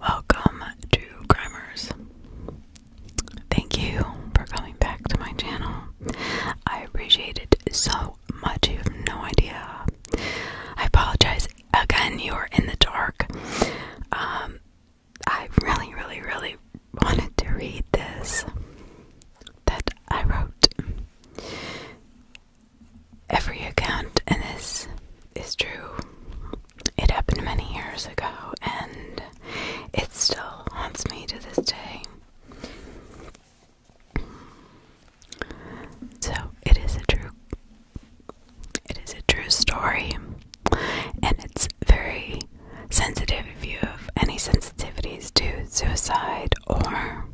Welcome to Grimers. Thank you for coming back to my channel. I appreciate it so much. You have no idea. I apologize again, you are in the dark. Um, I really, really, really wanted to read this that I wrote. Every account in this is true. It happened many years ago, and it still haunts me to this day. So, it is a true it is a true story, and it's very sensitive if you have any sensitivities to suicide or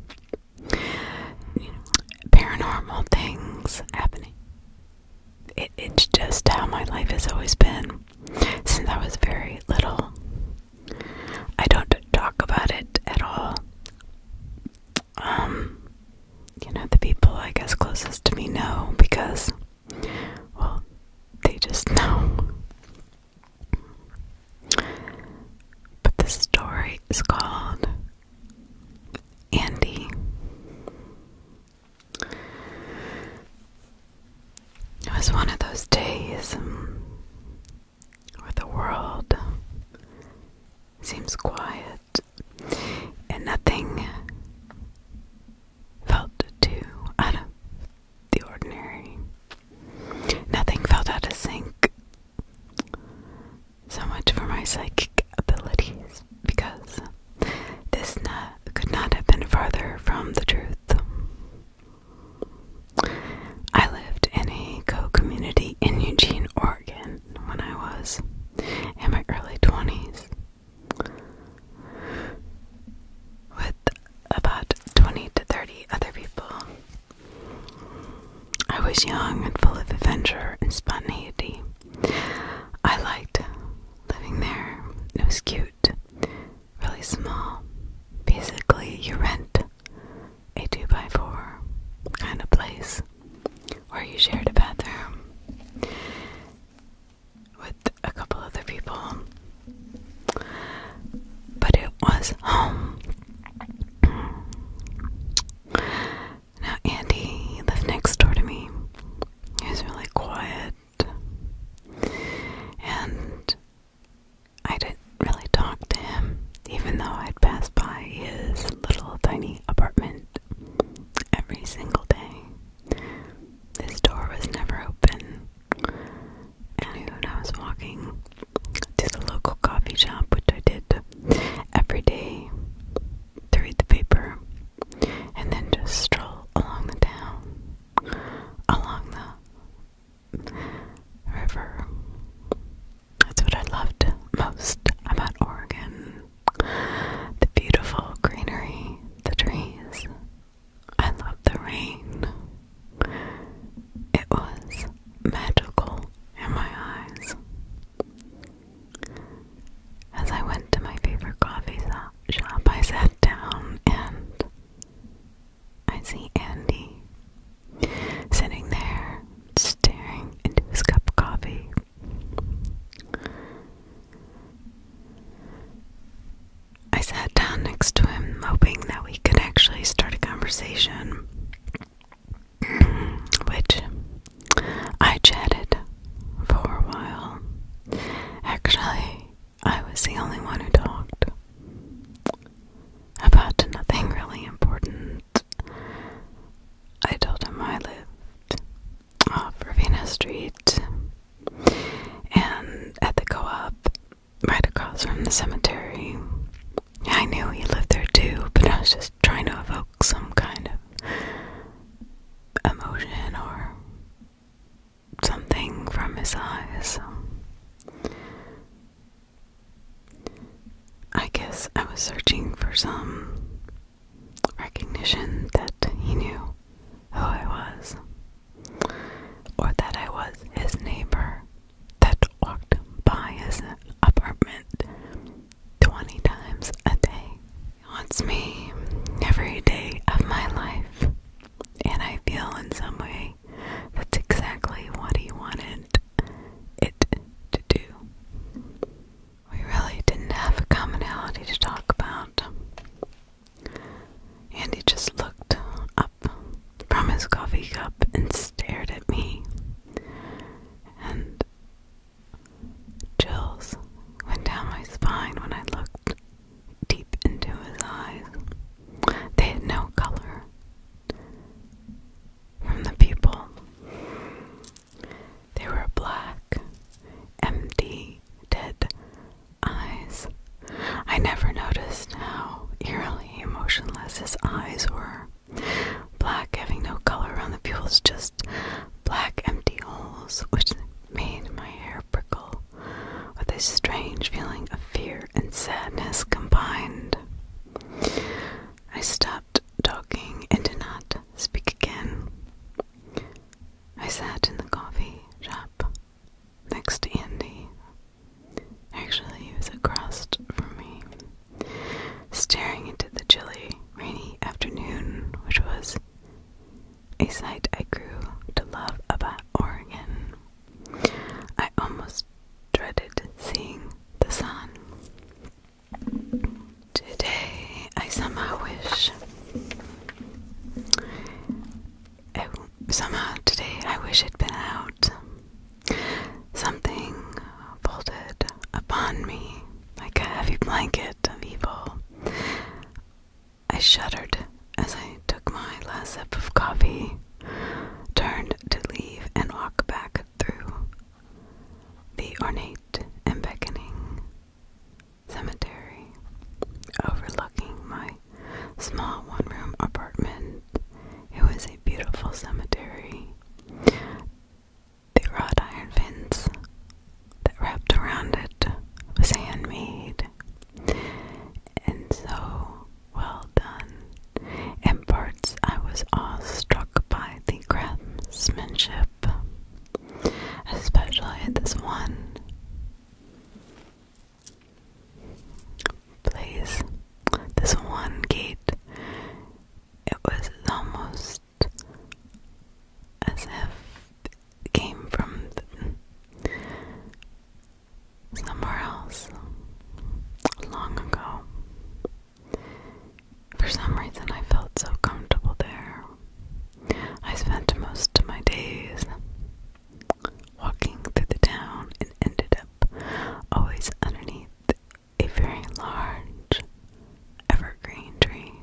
you know, paranormal things happening. it's just how my life has always been since I was very little. I don't talk about it at all um, you know, the people I guess closest to me know because, well, they just know. But the story is called Andy. It was one of those days um, where the world seems quiet and nothing felt too out of the ordinary. Nothing felt out of sync. So much for my psychic abilities, because this could not have been farther from the truth. I lived in a co community in Eugene, Oregon when I was in my early 20s. With about 20 to 30 other people. I was young and full of adventure and spontaneity. I liked living there. It was cute, really small. Basically, you rent a 2 by 4 kind of place or you shared a bathroom with a couple other people, but it was home. Now, Andy lived next door to me. He was really quiet, and I didn't really talk to him, even though I'd pass by his little tiny apartment every single day. This door was never open. And I was walking to the local coffee shop, which I did every day to read the paper, and then just stroll along the town, along the river. That's what I loved most about Oregon. The beautiful greenery, the trees. I love the rain. It was magical in my eyes. As I went to my favorite coffee shop, I sat down and I see Andy sitting there staring into his cup of coffee. I sat down next to him, hoping that we could actually start a conversation, which I chatted for a while. Actually, I was the only one who talked about nothing really important. I told him I lived off Ravenna Street and at the co op right across from the cemetery. I knew he lived there too, but I was just trying to evoke some kind of emotion or something from his eyes. I guess I was searching for some recognition that he knew who I was, or that I was his neighbor that walked by his apartment 20 times a day. He haunts me every day of my life, and I feel in some way that's exactly what he wanted it to do we really didn't have a commonality to talk about. Andy just looked up from his coffee cup and stared at me. And chills went down my spine when I looked deep into his eyes. They had no color. From the pupil they were black, empty, dead eyes. I never noticed how eerily emotionless his eyes were. Black having no color on the pupils, just black empty holes, which made my hair prickle with a strange feeling of fear and sadness combined. I stopped talking and did not speak again. I sat in the coffee shop next to Andy. Actually, he was across from me, staring into the chilly, rainy afternoon, which was a sight I grew to love about Oregon. I almost dreaded seeing the sun. Today, I somehow wish. somehow today, I wish it'd been out. Something folded upon me like a heavy blanket of evil. I shuddered as I took my last sip of coffee, turned to leave, and walk back through the ornate and beckoning cemetery overlooking my small one room apartment. It was a beautiful cemetery. The wrought iron fence that wrapped around it was handmade and so well done. In parts, I was awestruck by the craftsmanship especially this one. Place this one gate, it was almost as if it came from somewhere else long ago. For some reason, I felt so comfortable there. I spent most of my days walking through the town and ended up always underneath a very large evergreen tree.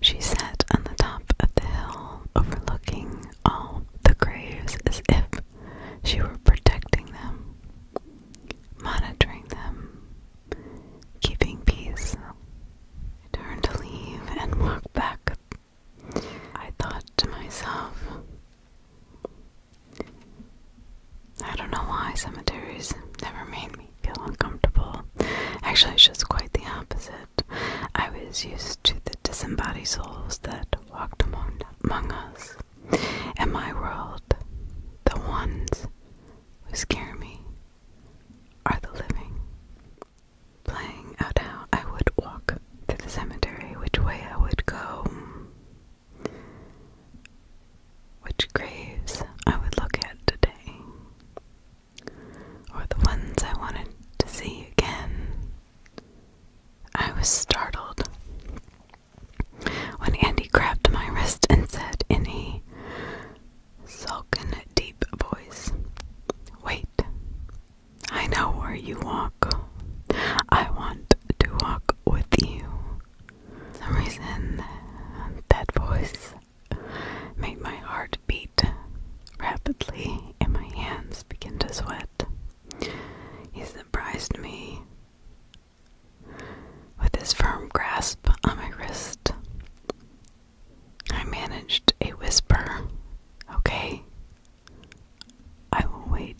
She sat on the top of the hill, overlooking all the graves as if she were protecting them, monitoring them, keeping peace. I turned to leave and walked back. I thought to myself, I don't know why cemeteries never made me feel uncomfortable. Actually, it's just quite the opposite. I was used to the disembodied souls that walked among, among us. In my world, the ones who scare me are the living. Playing out how I would walk to the cemetery, which way I would go, which graves I would look at today, or the ones I wanted to see again. I was startled when Andy grabbed my wrist and said in Sulkin deep voice. Wait. I know where you walk. I want to walk with you. For some reason that voice made my heart beat rapidly and my hands begin to sweat. He surprised me with his firm grasp on my wrist. I managed a whisper. Okay. I will wait.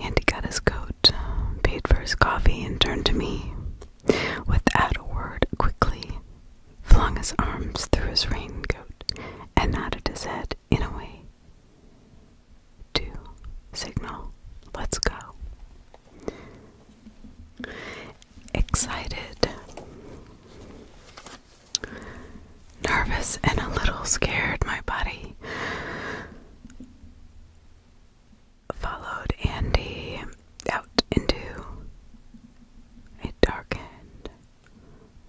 And he got his coat, paid for his coffee, and turned to me. Without a word, quickly flung his arms through his raincoat and nodded his head in a way to signal, let's go excited, nervous, and a little scared. My body followed Andy out into a darker,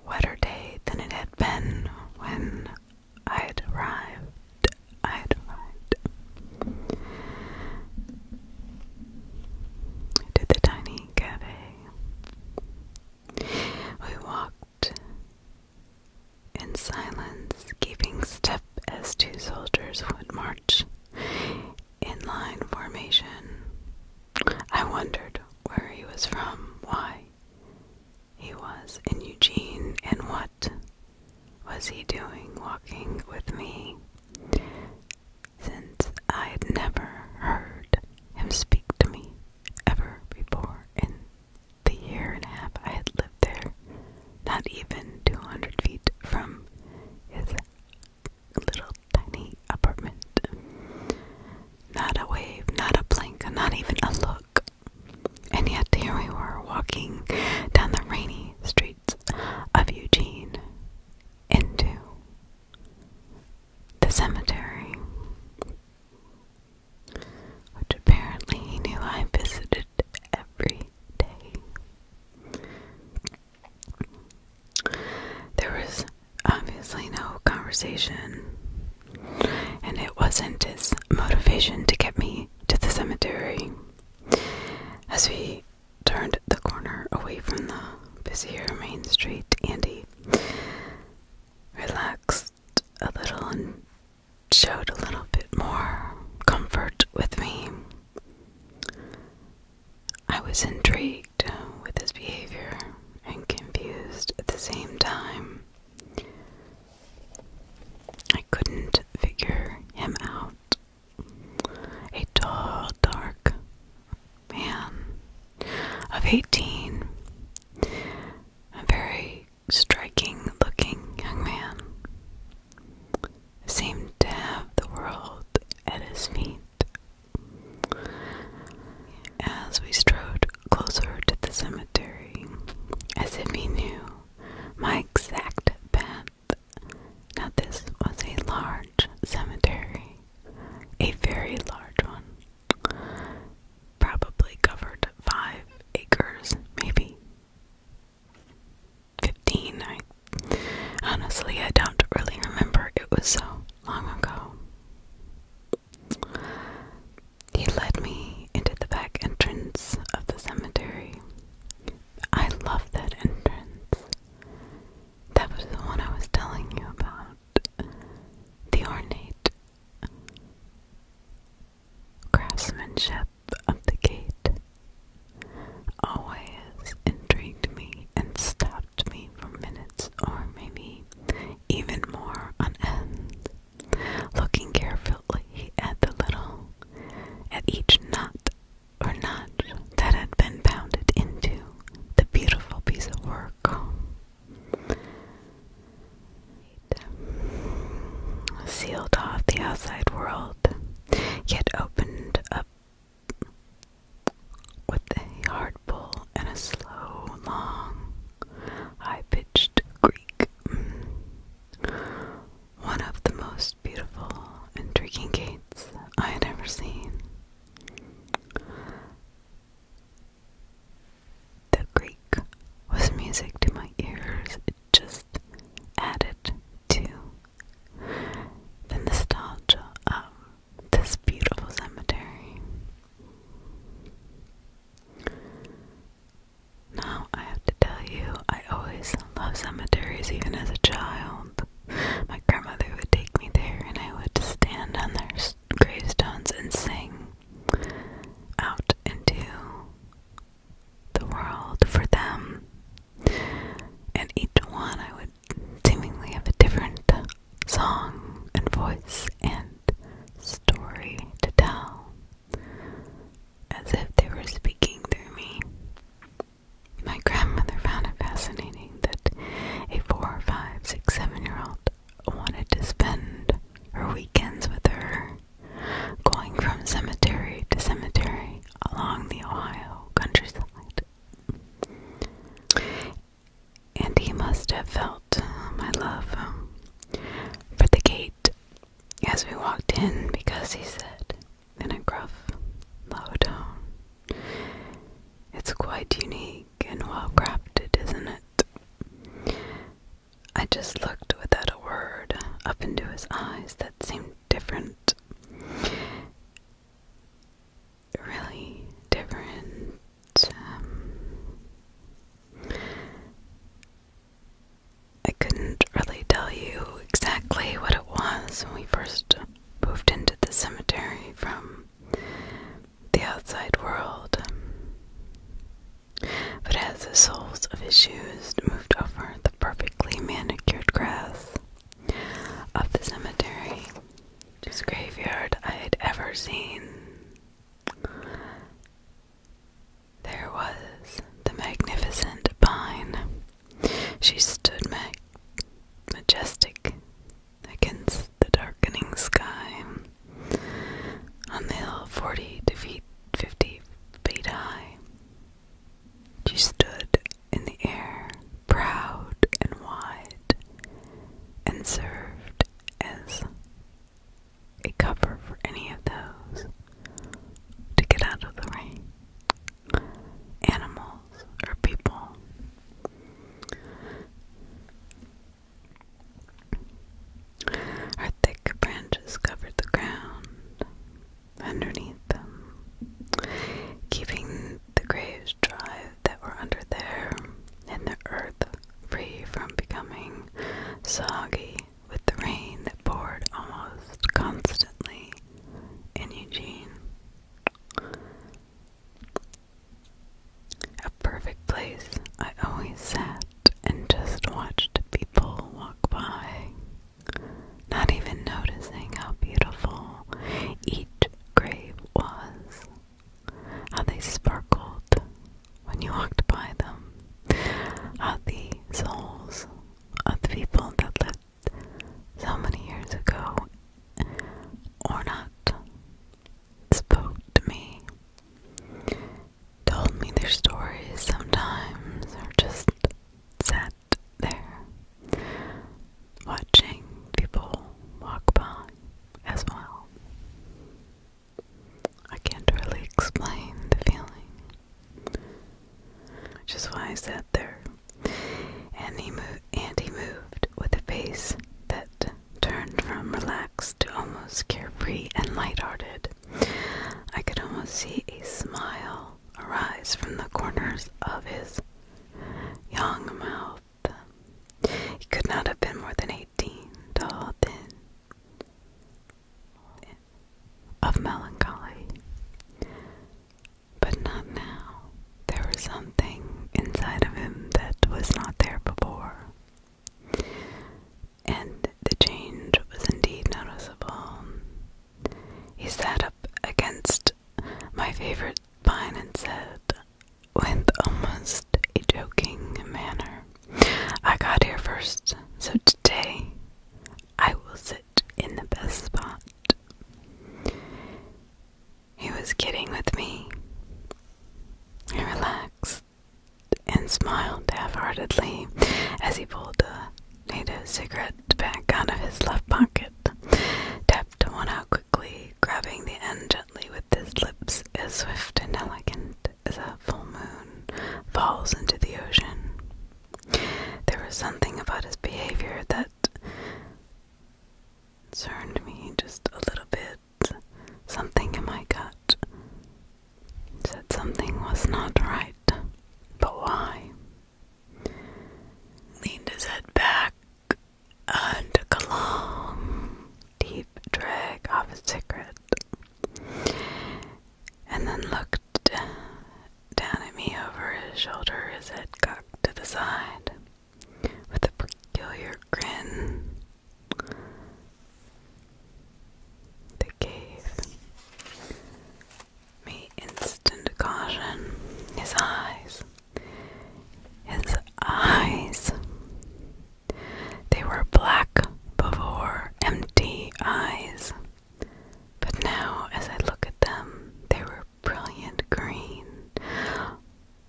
wetter day than it had been when i had arrived. I'd arrived to the tiny cafe. We walked in silence, keeping step as two soldiers would march in line formation. I wondered where he was from, why he was in Eugene, and what was he doing walking with me since I had never heard him speak to me ever before in the year and a half I had lived there, not even 200 feet from his little tiny apartment. Not a wave, not a blink, not even a look. And yet here we were walking down the rainy streets of Eugene, into the cemetery, which apparently he knew I visited every day. There was obviously no conversation, and it wasn't his motivation to get me to the cemetery. As he turned the corner away from the busier main street, Andy relaxed a little and showed a little bit more comfort with me. I was intrigued with his behavior and confused at the same time. I couldn't figure him out a tall, dark man of 18, a very striking looking young man, seemed to have the world at his feet. As we strode closer to the cemetery, as if he knew my exact path, now, this was a large cemetery, a very large one, probably covered five acres, maybe 15. honestly, I don't really remember, it was so long ago. He led me into the back entrance of the cemetery. I love that entrance. That was the one I was telling you about. The ornate craftsmanship of the gate always intrigued me and stopped me for minutes or maybe even more on end, looking carefully at the little, at each knot or not that had been pounded into the beautiful piece of work. Sealed off the outside world, yet opened up with a hard pull and a slow, long, high pitched Greek. One of the most most beautiful, intriguing gates I had ever seen. The Greek was music to my ears, it just added to the nostalgia of this beautiful cemetery. Now, I have to tell you, I always loved cemeteries, even as a child. My grandmother would take me there and I would stand on their gravestones and sing out into the world for them. And each one I would seemingly have a different song and voice and story to tell as if they were speaking through me. My grandmother found it fascinating that a four, five, six, seven year old wanted to spend her weekends with her, going from cemetery to cemetery along the Ohio countryside. And he must have felt uh, my love um, for the gate as we walked in because he said, in a gruff, low tone. It's quite unique and well crafted, isn't it? I just looked without a word up into his eyes that seemed different. Really different. Um, I couldn't really tell you exactly what it was when we first moved into the cemetery from the outside world. But as the soles of his shoes moved over the perfectly manicured grass of the cemetery, this graveyard I had ever seen, there was the magnificent pine she stood ma majestic against the darkening sky. On the hill forty to feet fifty feet high. She stood in the air, proud and wide, and served as a cover for any of those to get out of the rain animals or people. Our thick branches covered the ground underneath them, keeping the graves dry that were under there, and the earth free from becoming soggy with the rain that poured almost constantly in Eugene. A perfect place I always sat and just watched people walk by, not even noticing how beautiful each grave was, how they sparkled when you walked by them, how the souls of the people that lived so many years ago, or spoke to me, told me their stories sometimes, or just sat there watching people walk by as well. I can't really explain the feeling, which is why I sat there and he, mo and he moved with a face that turned from relaxed to almost carefree and light-hearted. I could almost see a smile arise from the corners of his young mouth. He could not have been more than eighteen, tall, thin, of melancholy. But not now. There was something inside of him that was not there before. And the change was indeed noticeable. He sat up against my favorite pine and said, with almost a joking manner, I got here first, so today I will sit in the best spot. He was kidding with me. He relaxed and smiled half heartedly as he pulled a native cigarette back out of his left pocket, tapped one out quickly, grabbing the end gently with his lips as swift and elegant as a full moon falls into the ocean. There was something about his behavior that concerned me just a little bit. Something in my gut said something was not right. But why? Leaned his head back and took a long, deep drag off his cigarette, and then looked down at me over his shoulder, his head cocked to the side with a peculiar grin. They gave me instant caution. His eyes, his eyes, they were black before, empty eyes. But now, as I look at them, they were brilliant green,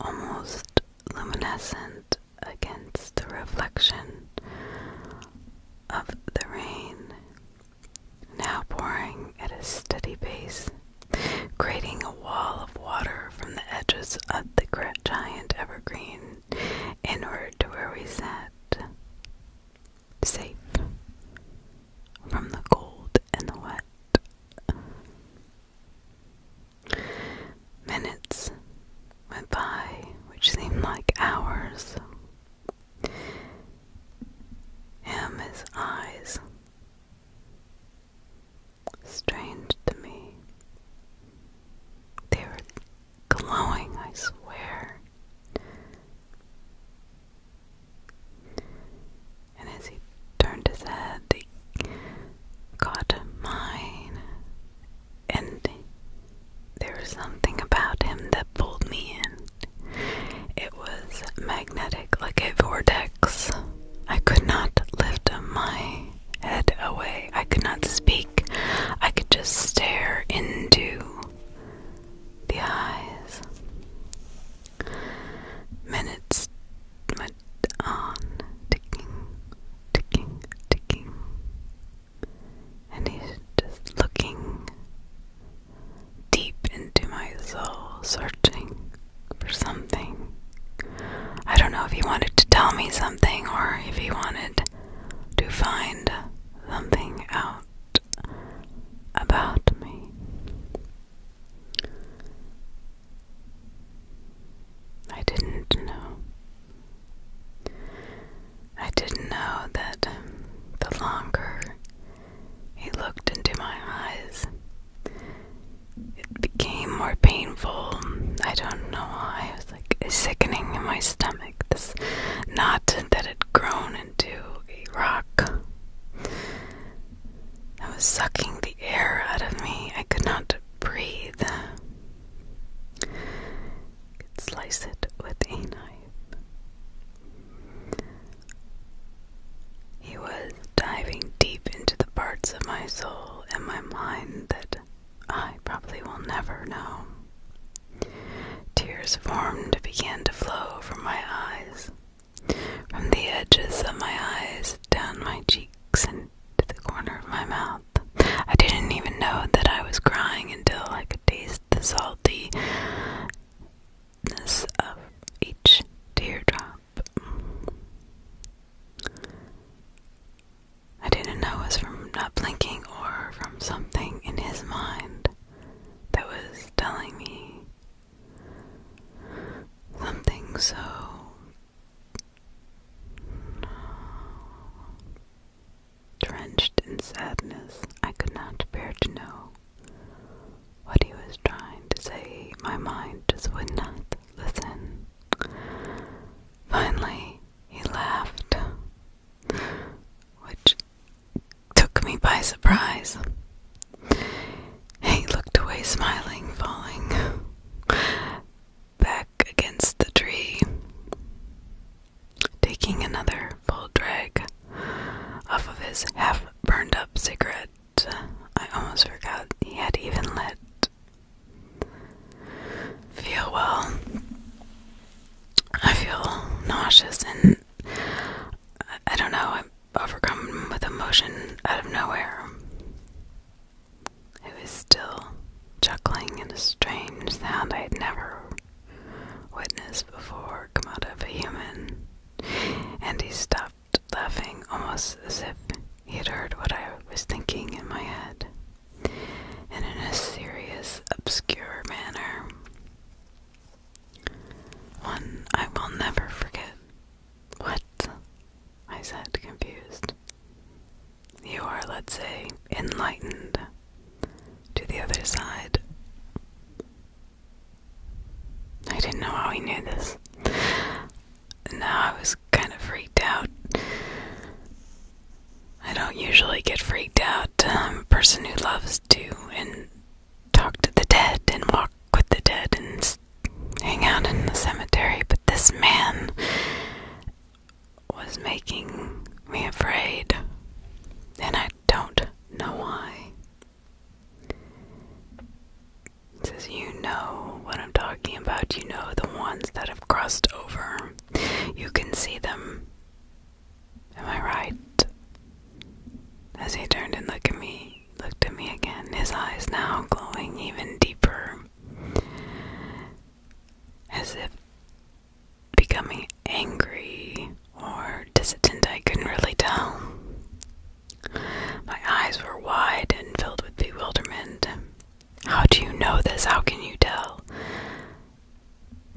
almost luminescent against the reflection of the rain, now pouring at a steady pace, creating a wall of water from the edges of the giant evergreen inward to where we sat, safe from the cold and the wet. Minutes went by, which seemed like hours. Him, eyes, strange to me. They were glowing, I swear and as he turned his head, he caught mine. And there was something about him that pulled me in. It was magnetic, like a vortex. I could not lift my head away. I could not speak. I could just stare into the eyes. Minutes went on ticking, ticking, ticking. And he's just looking deep into my soul, searching for something. I don't know if he wanted to tell me something or if he wanted to find something out about me. I didn't know. I didn't know that um, the longer he looked into my eyes, it became more painful. I don't know why. It was like sickening in my stomach. This knot that had grown into a rock that was sucking the air out of me. I could not breathe. I could slice it with a knife. He was diving deep into the parts of my soul and my mind that I probably will never know. Tears formed, began to flow from my eyes. From the edges of my eyes, down my cheeks, and to the corner of my mouth. I didn't even know that I was crying until I could taste the saltiness of each teardrop. I didn't know it was from not blinking or from something in his mind that was telling me something so Drenched in sadness, I could not bear to know what he was trying to say. My mind just would not listen. Finally, he laughed, which took me by surprise. He looked away, smiling, falling back against the tree, taking another full drag off of his half burned up cigarette. I almost forgot he had even lit. Feel well. I feel nauseous and I, don't know overcome with emotion out of nowhere, was still chuckling in a strange sound I had never witnessed before come out of a human, and he stopped laughing almost as if he had heard what I was thinking in my head, and in a serious, obscure manner. One I will never forget. What? I said, confused. You are, let's say, enlightened to the other side. I didn't know how he knew this. Now I was kind of freaked out. I don't usually get freaked out. Um, a person who loves to and talk to the dead and walk with the dead and hang out in the cemetery, but this man was making me afraid, and I don't know why. It says, You know what I'm talking about. You know the ones that have crossed over. You can see them. Am I right? As he turned and looked at me, looked at me again, his eyes now glowing even deeper, as if becoming angry or distant. I couldn't really tell. My eyes were wide and filled with bewilderment. How do you know this? How can you tell?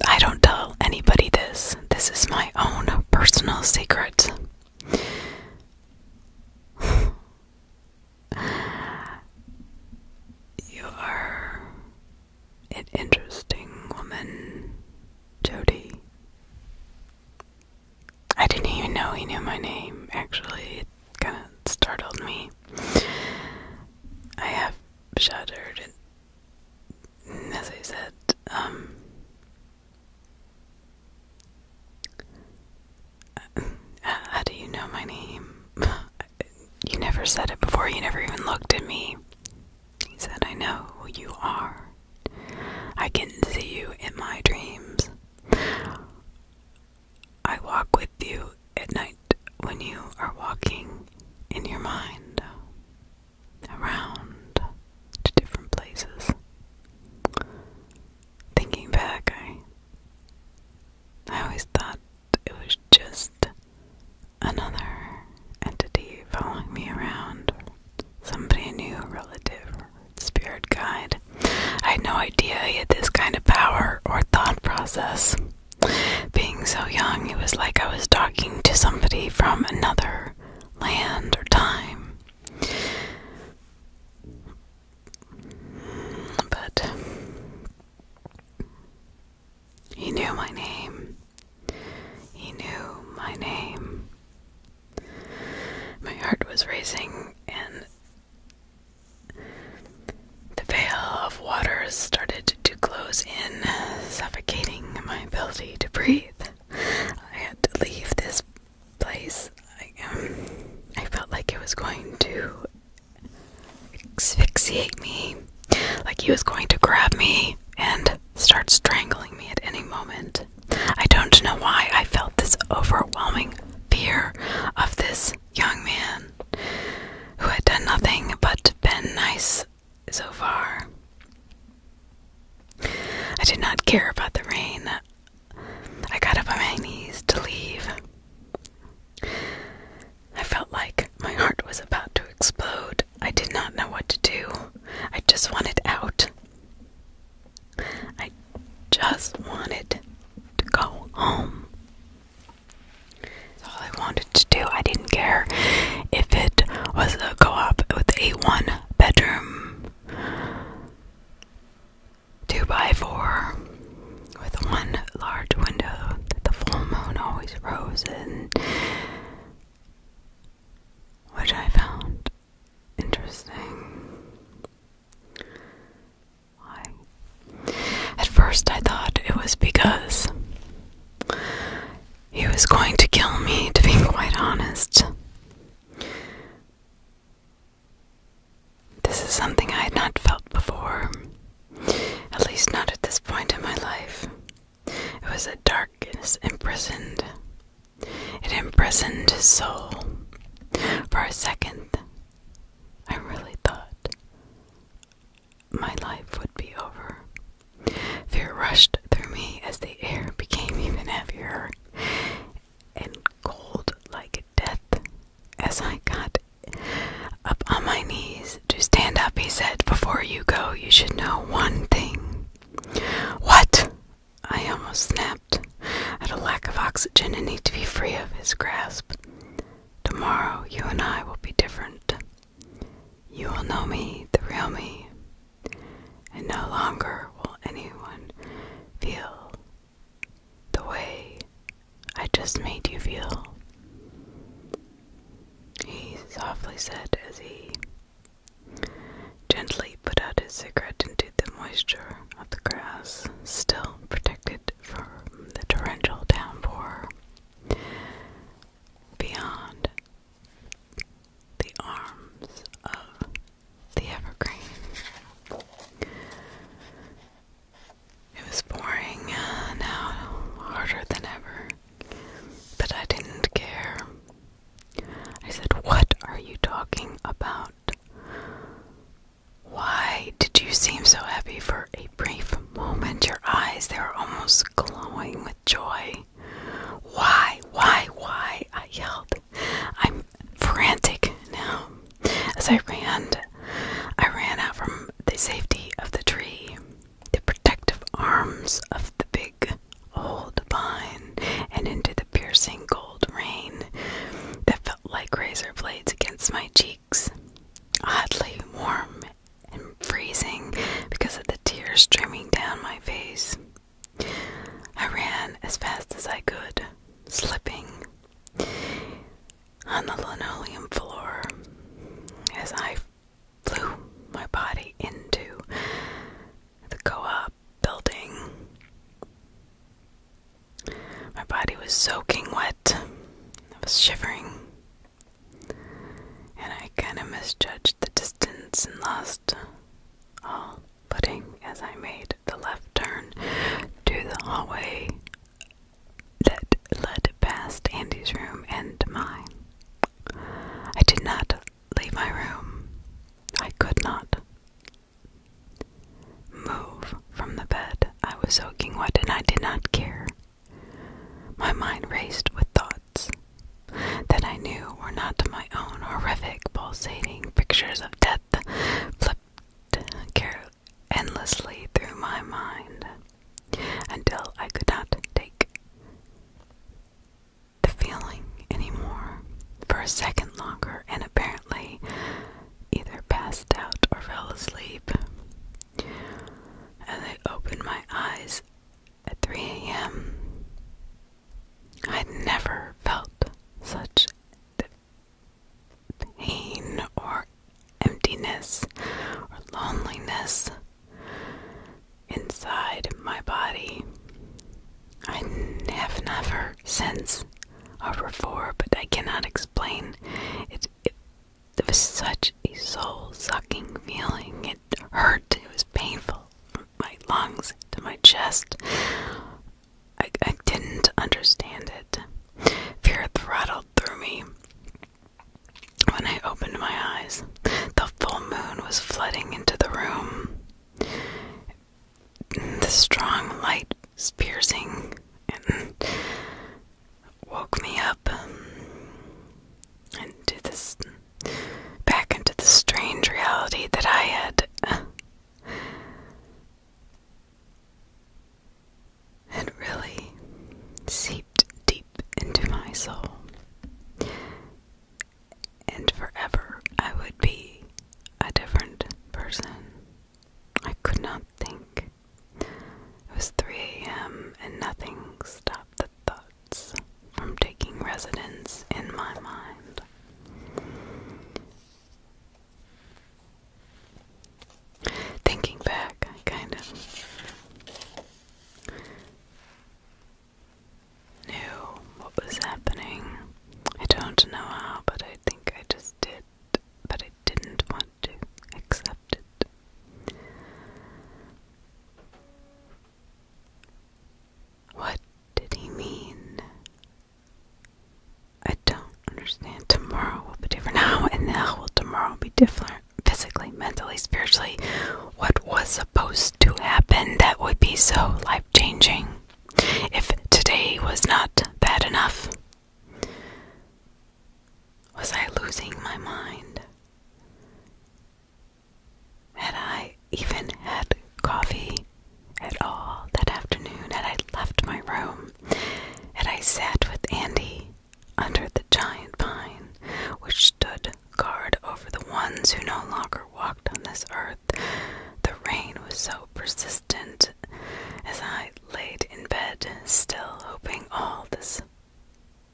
I don't tell anybody this. This is my own personal secret. You are an interesting woman, Jody. I didn't even know he knew my name, actually. It kind of startled me. I have shuddered, and, as I said, um, how do you know my name? You never said it before, you never even looked at me. He said, I know who you are. I can see you in my dreams. I walk with you at night when you are walking in your mind around to different places. Thinking back, I I always thought it was just another entity following me around, somebody new, a relative, spirit guide. I had no idea he had this kind of power or thought process. Being so young, it was like I was talking to somebody from another land or time. But he knew my name. He knew my name. My heart was racing, and the veil of waters started to close in, suffocating my ability to breathe. I had to leave this place. I, um, I felt like it was going to asphyxiate me, like he was going to grab me and start strangling me at any moment. I don't know why I felt this overwhelming fear of this young man who had done nothing but been nice so far. I did not care about the rain. I got up on my knees to leave. I felt like my heart was about to explode. I did not know what to do. I just wanted out. I just wanted to go home. all I wanted to do. I didn't care if it was a co op with a one bedroom two by four with one large window that the full moon always rose in, which I found interesting. Why? At first, I thought it was because he was going to kill me, to be quite honest. This is something I had not felt before, at least not at this point in my life. It was a darkness imprisoned. It imprisoned his soul. For a second, I really thought my life would be over. Fear rushed through me as the air became even heavier and cold like death. As I got up on my knees to stand up, he said, Before you go, you should know one thing. What? I almost snapped at a lack of oxygen and need to be free of his grasp. Tomorrow, you and I will be different. You will know me, the real me, and no longer will anyone feel the way I just made you feel, he softly said as he gently put out his cigarette into the moisture of the grass, still protected from the torrential downpour beyond the arms of the evergreen. It was boring uh, now, harder than ever, but I didn't care. I said, What are you talking about? Why did you seem so happy for a brief moment? Your eyes, they were almost glowing with joy. Why, why, why? I yelled. I'm frantic now. As I ran, I ran out from the safety of the tree, the protective arms of the big old pine, and into the piercing gold rain that felt like razor blades against my cheeks, oddly warm and freezing because of the tears streaming down my face. I ran as fast as I could, slipping on the linoleum floor as I flew my body into the co op building. My body was soaking wet, I was shivering, and I kind of misjudged the distance and lost all footing as I made the left turn to the hallway that led past Andy's room and mine. I did not leave my room. I could not move from the bed. I was soaking wet and I did not care. My mind raced with thoughts that I knew were not my own horrific, pulsating pictures of death flipped endlessly through my mind until I could not take the feeling anymore for a second longer and apparently either passed out or fell asleep. As I opened my eyes at 3 a.m., I'd never felt such pain or emptiness or loneliness inside my body. I have never since or before, but I cannot explain. it, it was such a soul sucking feeling. It hurt. It was painful from my lungs to my chest. I, didn't understand it. Fear throttled through me when I opened my eyes. The full moon was flooding into the room. The strong light was piercing and woke me up into this back into the strange reality that I had had really seeped deep into my soul. And forever I would be a different person. I could not think. It was 3 a.m. and nothing stopped the thoughts from taking residence in my mind. Thinking back, kind of knew what was happening. I don't know how, but I think I just did, but I didn't want to accept it. What did he mean? I don't understand. Tomorrow will be different. now, and now will tomorrow be different? Physically, mentally, spiritually. What was supposed to happen that would be so life changing? If today was not bad enough, was I losing my mind? Had I even had coffee at all that afternoon? Had I left my room? him, and I sat with Andy under the giant pine which stood guard over the ones who no longer walked on this earth. The rain was so persistent as I laid in bed, still hoping all this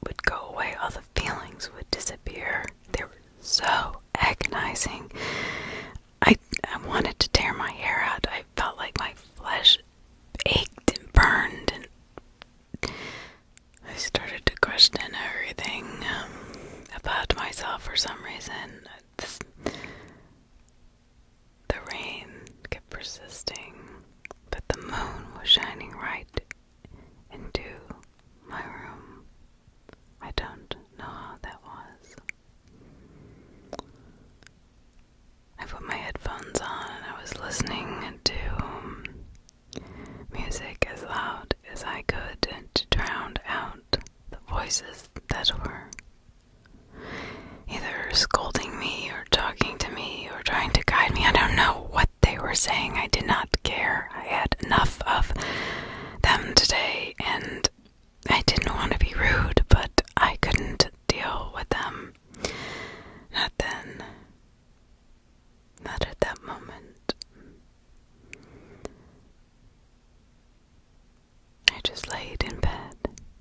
would go away, all the feelings would disappear. They were so agonizing. I, I wanted to tear my hair out. I felt like my flesh ached and burned, and I started to question everything um, about myself for some reason. the rain kept persisting, but the moon was shining right into my room. I don't know how that was. I put my headphones on and I was listening to um, music as loud as I could to drown out the voices that were either scolding me or talking to me or trying to guide me. I don't know what they were saying. I did not care. I had enough of them today and I didn't want to be rude, but I couldn't deal with them. Not then. Not at that moment. I just laid in bed,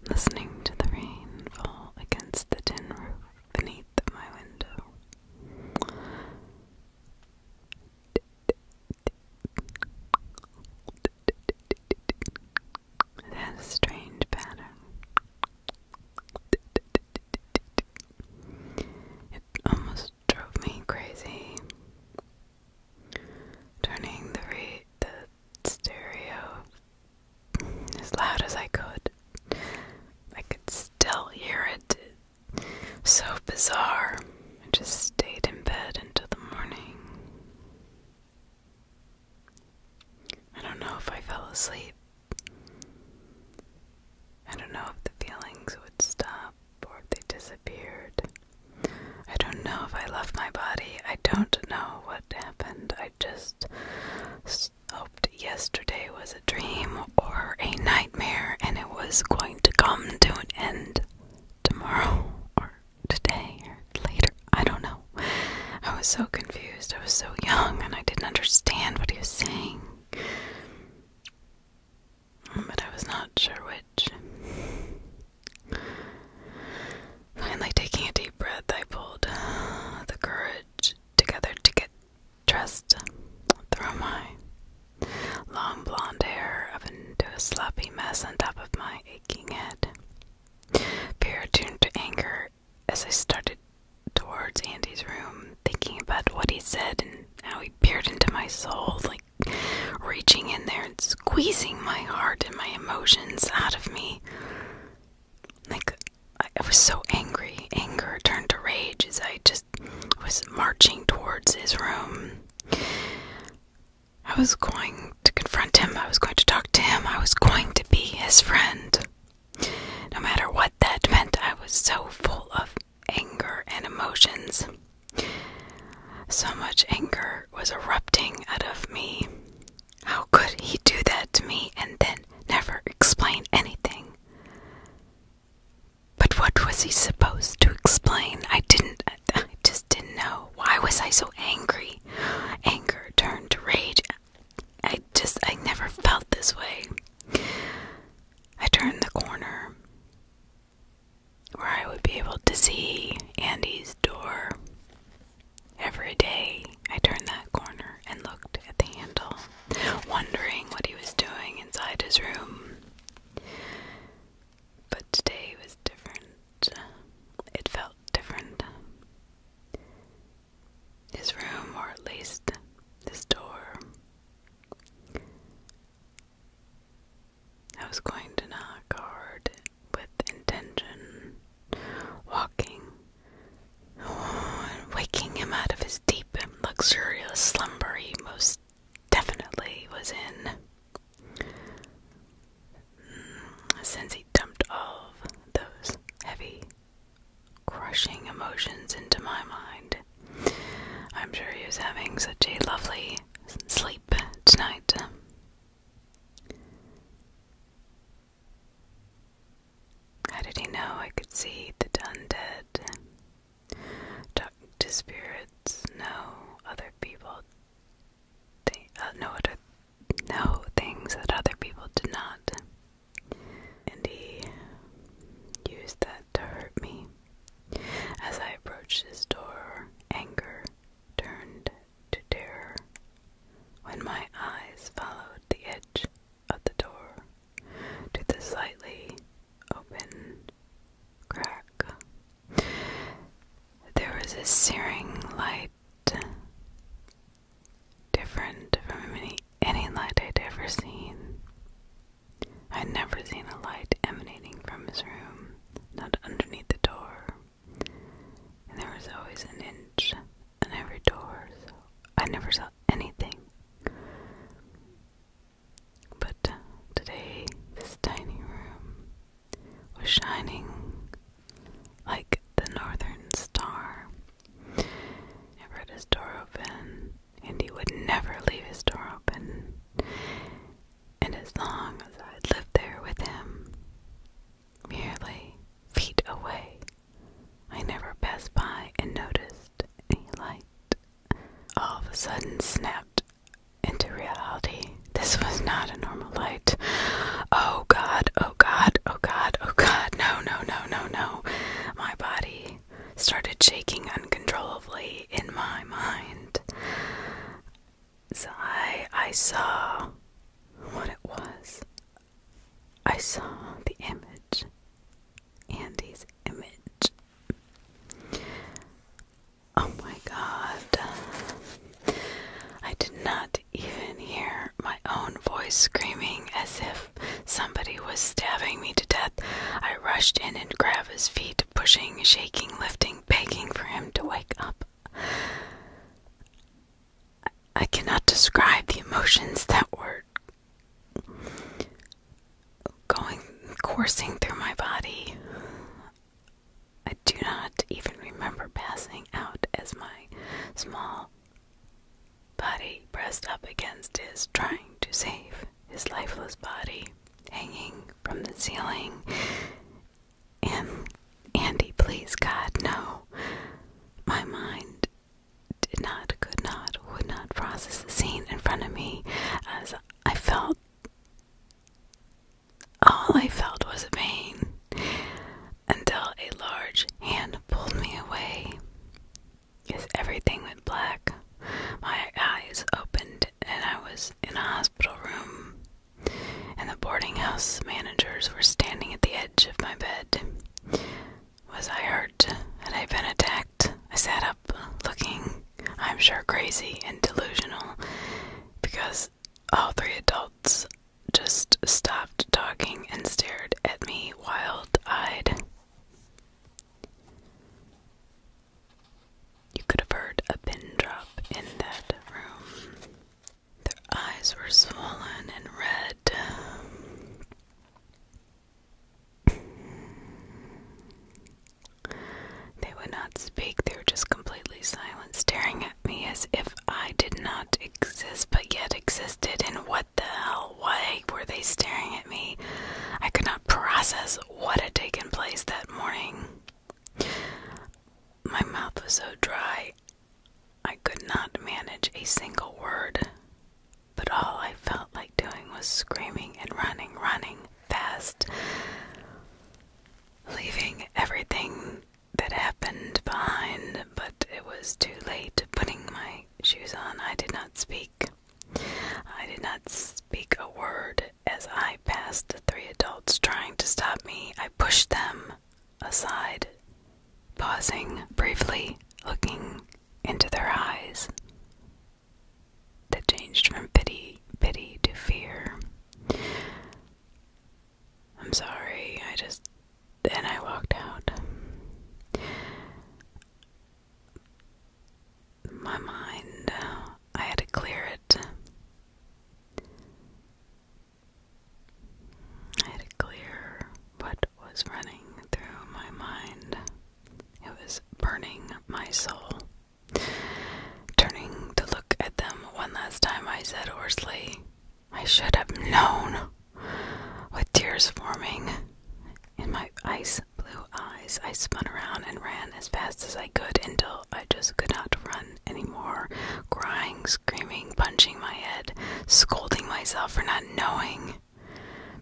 listening to the rain fall against the tin roof beneath my window. It had a strange pattern. It almost drove me crazy. Turning the stereo as loud as I could. I could still hear it. So bizarre. I just stayed in bed until the morning. I don't know if I fell asleep. I don't know if the feelings would stop or if they disappeared. I don't know if I left my body. I don't know what happened. I just hoped yesterday was a dream or a nightmare and it was going to come to an end tomorrow or today or later. I don't know. I was so confused. I was so young and I didn't understand what he was saying. But I was not sure which. Finally, taking a deep breath, I pulled uh, the courage together to get dressed through my long blonde hair up into a sloppy mess on top of my aching head. Fear turned to anger as I started towards Andy's room, thinking about what he said and how he peered into my soul, like reaching in there and squeezing my heart and my emotions out of me. Like, I, I was so angry. Anger turned to rage as I just was marching towards his room. I was going to confront him, I was going to talk to him, I was going to be his friend. No matter what that meant, I was so full of anger and emotions. So much anger was erupting out of me. How could he do that to me and then never explain anything? But what was he supposed to explain? I didn't, I just didn't know. Why was I so angry? Anger turned to rage. I just, I never felt this way. I turned the corner where I would be able to see Andy's door. Every day I turned that corner and looked at the handle, wondering what he was doing inside his room. But today was different. It felt different his room or at least this door. I was going to knock hard with intention, walking waking him out of his deep and luxurious slumber he most definitely was in. Mm, since he dumped all those heavy crushing emotions into my mind. I'm sure he was having such a lovely sleep tonight. How did he know I could see the undead? Talk to spirits, no other people. They, uh, no other know things that other people did not. And he used that to hurt me. As I approached his door, anger turned to terror when my eyes followed the edge of the door to the slightly open crack. There was a searing light different from any, any light I'd ever seen. I'd never seen a light emanating from his room, not underneath the door. And there was always an inch on every door, so I never saw anything. But today, this tiny room was shining like the northern star. I've his door open, and he would never leave his door open. And as long as I'd lived there with him, merely feet away, I never passed by and noticed any light. All of a sudden, snapped into reality. This was not a normal light. Oh God, oh Oh god, oh god, oh god, no, no, no, no, no. My body started shaking uncontrollably in my mind. So I, I saw what it was. I saw the image. Andy's image. Oh my god. I did not even hear my own voice screaming as if somebody was stabbing me to death. I rushed in and grabbed his feet, pushing, shaking, lifting, begging for him to wake up. I cannot describe the emotions that were going coursing through my body. I do not even remember passing out as my small Body pressed up against his, trying to save his lifeless body, hanging from the ceiling. And Andy, please, God, no. My mind did not, could not, would not process the scene in front of me as I felt. All I felt was pain until a large hand pulled me away. Is everything went black? My eyes opened, and I was in a hospital room, and the boarding house managers were standing at the edge of my bed. Was I hurt? Had I been attacked? I sat up, looking, I'm sure, crazy and delusional, because all three adults just stopped talking and stared at me wild eyed. You could have heard a pin drop in that room. Their eyes were swollen and red. They would not speak, they were just completely silent, staring at me as if I did not exist, but yet existed. And what the hell why were they staring at me? I could not process what had taken place that morning. My mouth was so dry, I could not manage a single word. But all I felt like doing was screaming and running, running fast, leaving everything that happened behind, but it was too late. Putting my my shoes on, I did not speak. I did not speak a word as I passed the three adults trying to stop me. I pushed them aside, pausing briefly, looking into their eyes that changed from pity, pity to fear. I'm sorry, I just then I walked out. My mind, I had to clear it. I had to clear what was running through my mind. It was burning my soul. Turning to look at them one last time, I said hoarsely, I should have known. With tears forming in my ice blue eyes, I spun around and ran as fast as I could until I just could not run anymore, crying, screaming, punching my head, scolding myself for not knowing,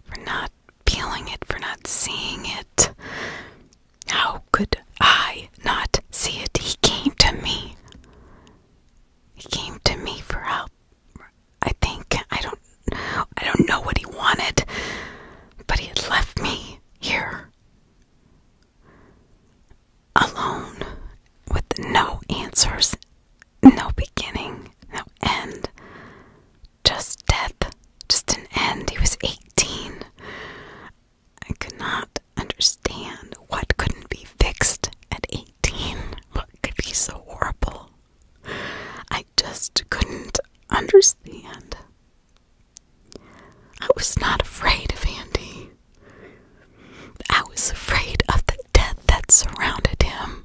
for not feeling it, for not seeing it. How could I not see it? He came to me. He came to me for help. I think I don't I don't know what he wanted, but he had left me here alone with no answers, no beginning, no end. Just death, just an end. He was 18. I could not understand what couldn't be fixed at 18. What could be so horrible? I just couldn't understand. I was not afraid of Andy. I was afraid of the death that surrounded him.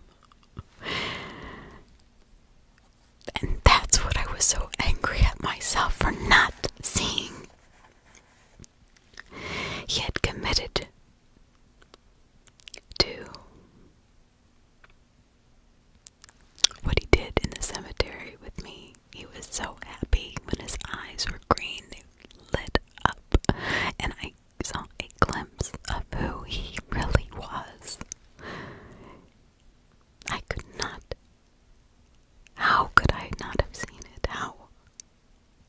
And that's what I was so angry at myself for not seeing. He had committed to what he did in the cemetery with me. He was so happy when his eyes were green, they lit up, and I saw a glimpse of who he really was. I could not. How could I not have seen it? How?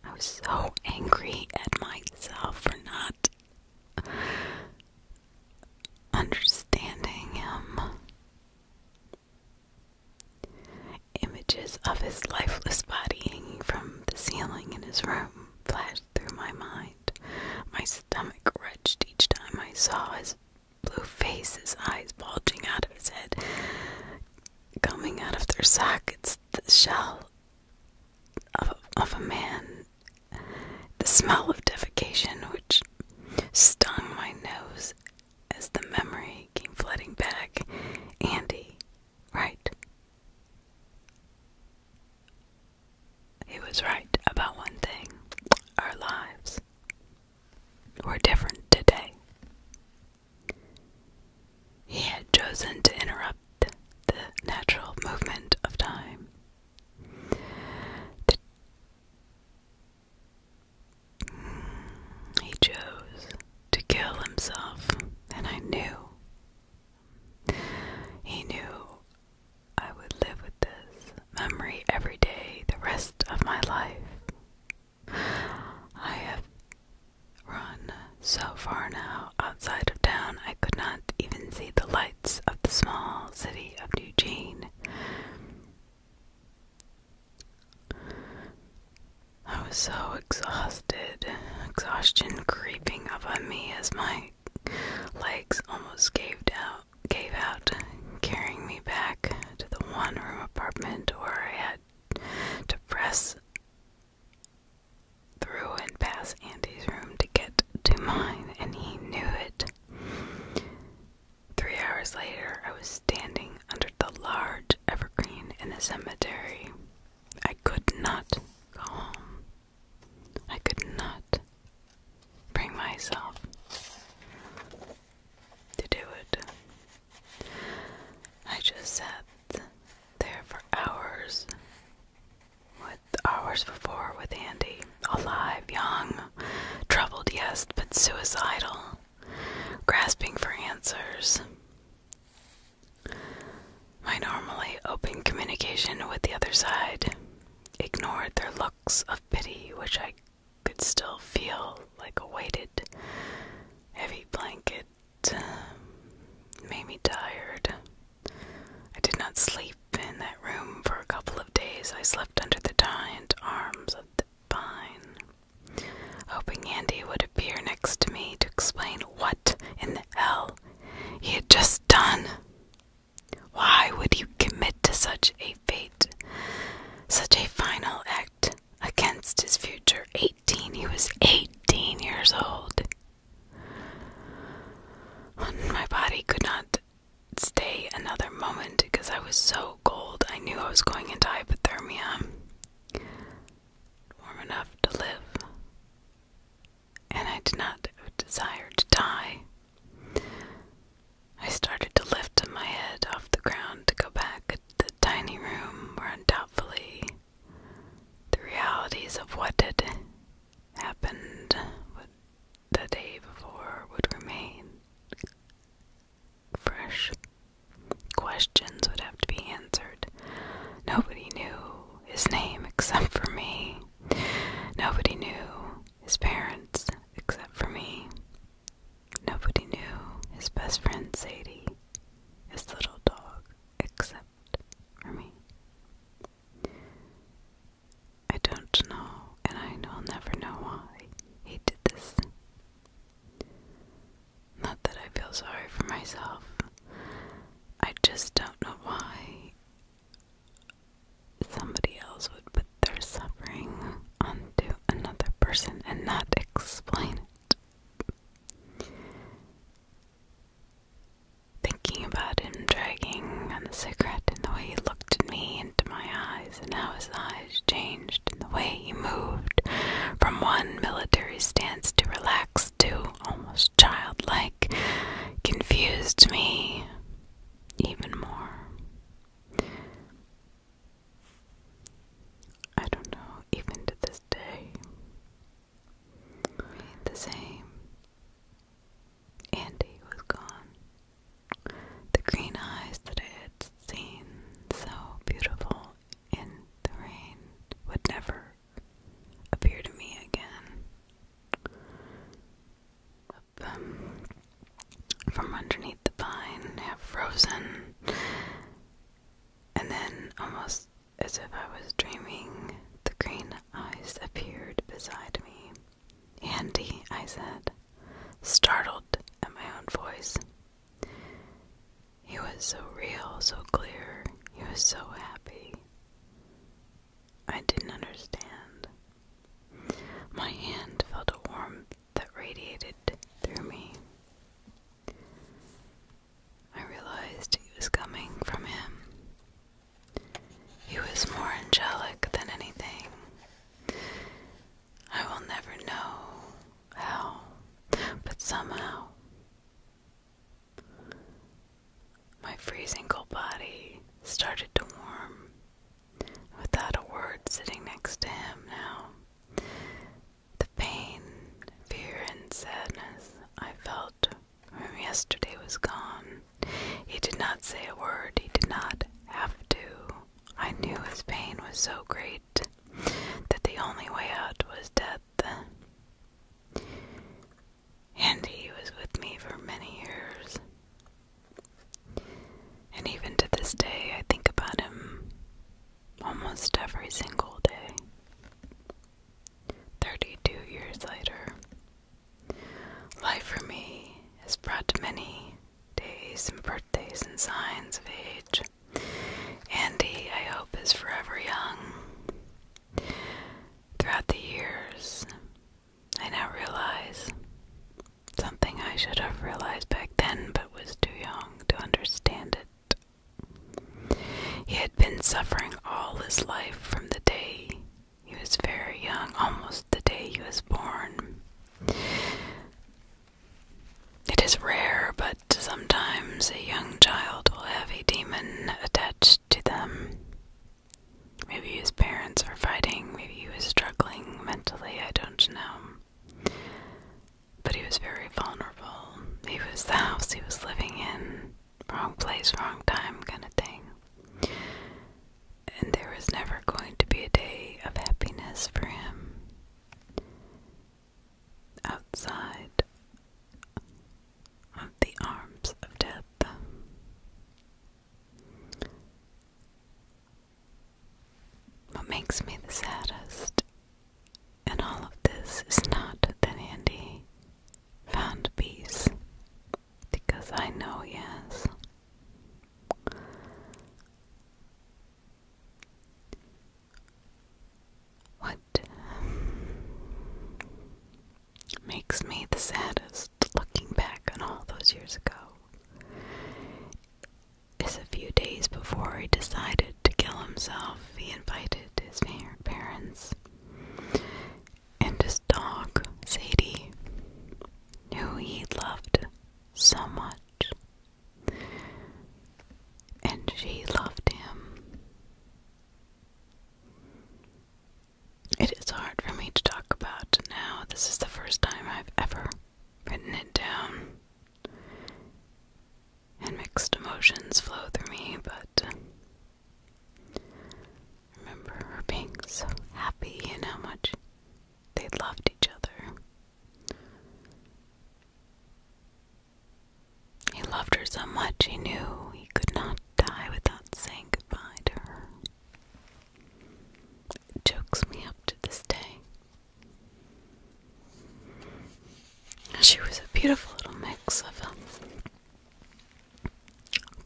I was so angry at myself for not understanding him. Images of his lifeless body hanging from the ceiling in his room flashed through my mind. My stomach wrenched each time I saw his blue face, his eyes bulging out of his head, coming out of their sockets, the shell of, a man, the smell of defecation which stung my nose as the memory came flooding back. Andy, right? He was right about one thing our lives were different today. He had chosen to interrupt the natural movement of time. he chose to kill himself, and I knew. He knew I would live with this memory every day the rest of my life. I have run so far now outside of town, I could not even see the lights of the small city of Eugene. I was so exhausted, exhaustion creeping up on me as my legs almost gave out, gave out, carrying me back to the one-room apartment where I had to press through and past Andy's room to get to mine, and he knew it. Three hours later, I was standing under the large evergreen in the cemetery. I could not go home. I could not bring myself to do it. I just sat there for hours with hours before with Andy. Alive, young, troubled, yes, but suicidal, grasping for answers. My normally open communication with the other side ignored their looks of pity, which I could still feel like a weighted, heavy blanket. Um, made me tired. I did not sleep in that room for a couple of days. I slept under the giant arms of the pine, hoping Andy would appear next to me to explain what in the hell he had just done. Why would you commit to such a fate, such a final act against his future? Eighteen, he was eighteen years old. My body could not stay another moment because I was so cold. I knew I was going into hypothermia. Warm enough to live. And I did not desire to die. I started to lift my head off the ground to go back to the tiny room where undoubtedly the realities of what did happened the day before would remain fresh. Questions would have to be answered. Nobody knew his name except for me. Nobody knew his parents except for me. Nobody knew his best friend Sadie, his little dog, except for me. I don't know, and I will never know why he did this. Not that I feel sorry for myself. I just don't know why somebody else would put their suffering onto another person and not explain it thinking about him dragging on the cigarette and the way he looked at me into my eyes and how his eyes changed and the way he moved from one military stance to relaxed to almost childlike confused me even more. I don't know, even to this day. The same and he was gone. The green eyes that I had seen so beautiful in the rain would never appear to me again. Up, um, from underneath the pine, half frozen, and then almost as if I was dreaming, the green eyes appeared beside me. Andy, I said, startled at my own voice. He was so real, so clear. He was so happy. I didn't understand. My hand felt a warmth that radiated through me. I realized it was coming from him. He was more angelic than anything. I will never know how, but somehow. My freezing cold body started to warm. Without a word, sitting next to him now. The pain, fear, and sadness I felt whom yesterday was gone. He did not say a word, he did not have to. I knew his pain was so great that the only way out was death. And he was with me for many years. And even to this day, I think about him almost every single day. 32 years later. Life for me has brought many days and birthdays and signs of age. Andy, I hope, is forever young. Throughout the years, I now realize something I should have realized back then but was too young to understand it. He had been suffering all his life from the day he was very young, almost the day he was born. It is rare, but sometimes a young child will have a demon attached to them. Maybe his parents are fighting, maybe he was struggling mentally, I don't know. But he was very vulnerable. He was the house he was living in wrong place, wrong time kind of thing. And there was never going to be a day of happiness for him. Outside of the arms of death. What makes me the saddest and all of this is not that Andy found peace because I know yes. What makes me the saddest looking back on all those years ago is a few days before he decided to kill himself, he invited his parents and his dog, Sadie, who he loved so much. And she loved him. It is hard for me to talk about now. This is the first time I've ever written it down. And mixed emotions flow through me, but Remember her being so happy and how much they loved each other. He loved her so much he knew he could not die without saying goodbye to her. It chokes me up to this day. She was a beautiful little mix of a um,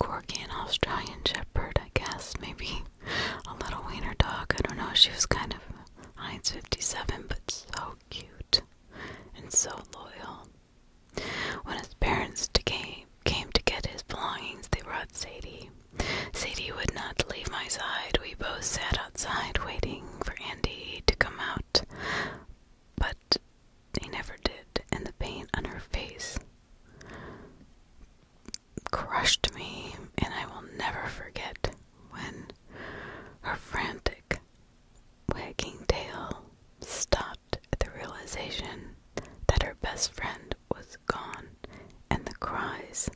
Corgi, an Australian Shepherd, I guess, maybe a little wiener dog. I don't know. She was kind of Heinz 57, but so cute and so loyal. When his parents came, to get his belongings, they brought Sadie. Sadie would not leave my side. We both sat outside waiting for Andy to come out, but they never did, and the pain on her face crushed me, and I will never forget when her frantic wagging tail stopped at the realization that her best friend was gone and the cries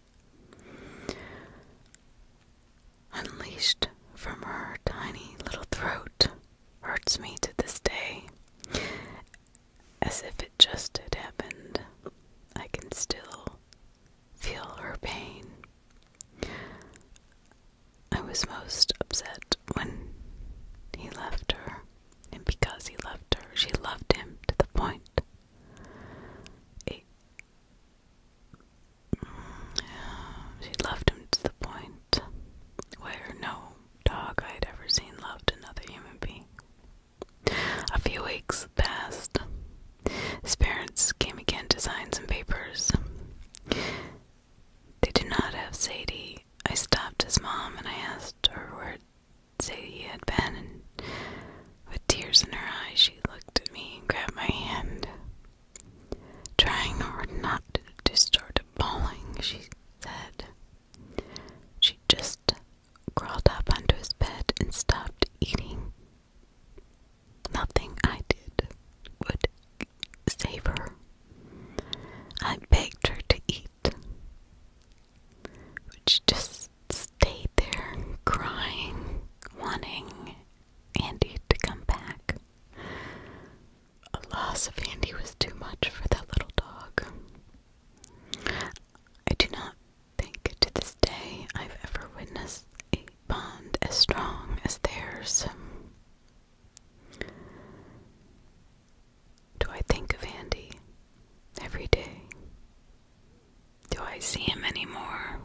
unleashed from her tiny little throat hurts me to this day as if it just had happened. I can still feel her pain. I was most upset when he left her, and because he left her, she loved him to the point. It, she loved him to the point where no dog I had ever seen loved another human being. A few weeks passed. His parents came again to sign some papers. They did not have Sadie. I stopped his mom and I asked her where Sadie had been, and with tears in her eyes, she looked at me and grabbed my hand. Trying hard not to start bawling, she said, She just crawled up under his bed and stopped eating. Nothing I did would save her. I begged her to eat, but she just stayed there crying, wanting Andy to come back. A loss of Andy was too much for that little dog. I do not think to this day I've ever witnessed a bond as strong as theirs. Do I think of Andy every day? Do I see him anymore?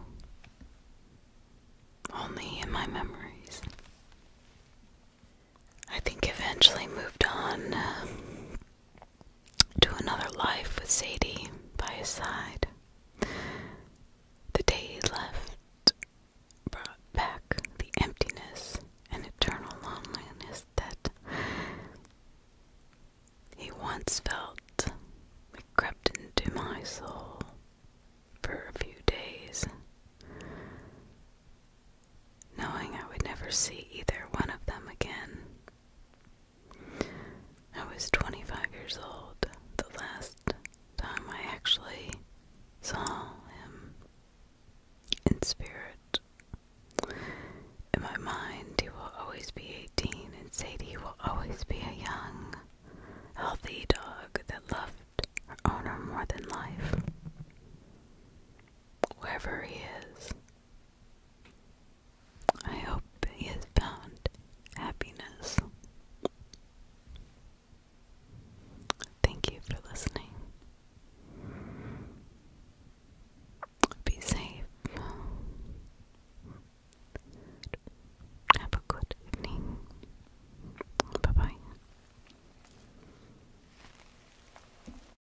Only in my memories. I think eventually moved on uh, to another life with Sadie by his side. The day he left brought back the emptiness and eternal loneliness that he once felt. It crept into my soul for a few days knowing I would never see either one of them again. I was 25 years old the last time I actually saw him in spirit. In my mind, he will always be 18, and Sadie will always be a young, healthy dog that loved her owner more than life. Wherever he is, I hope he has found happiness. Thank you for listening. Be safe. Have a good evening. Bye bye.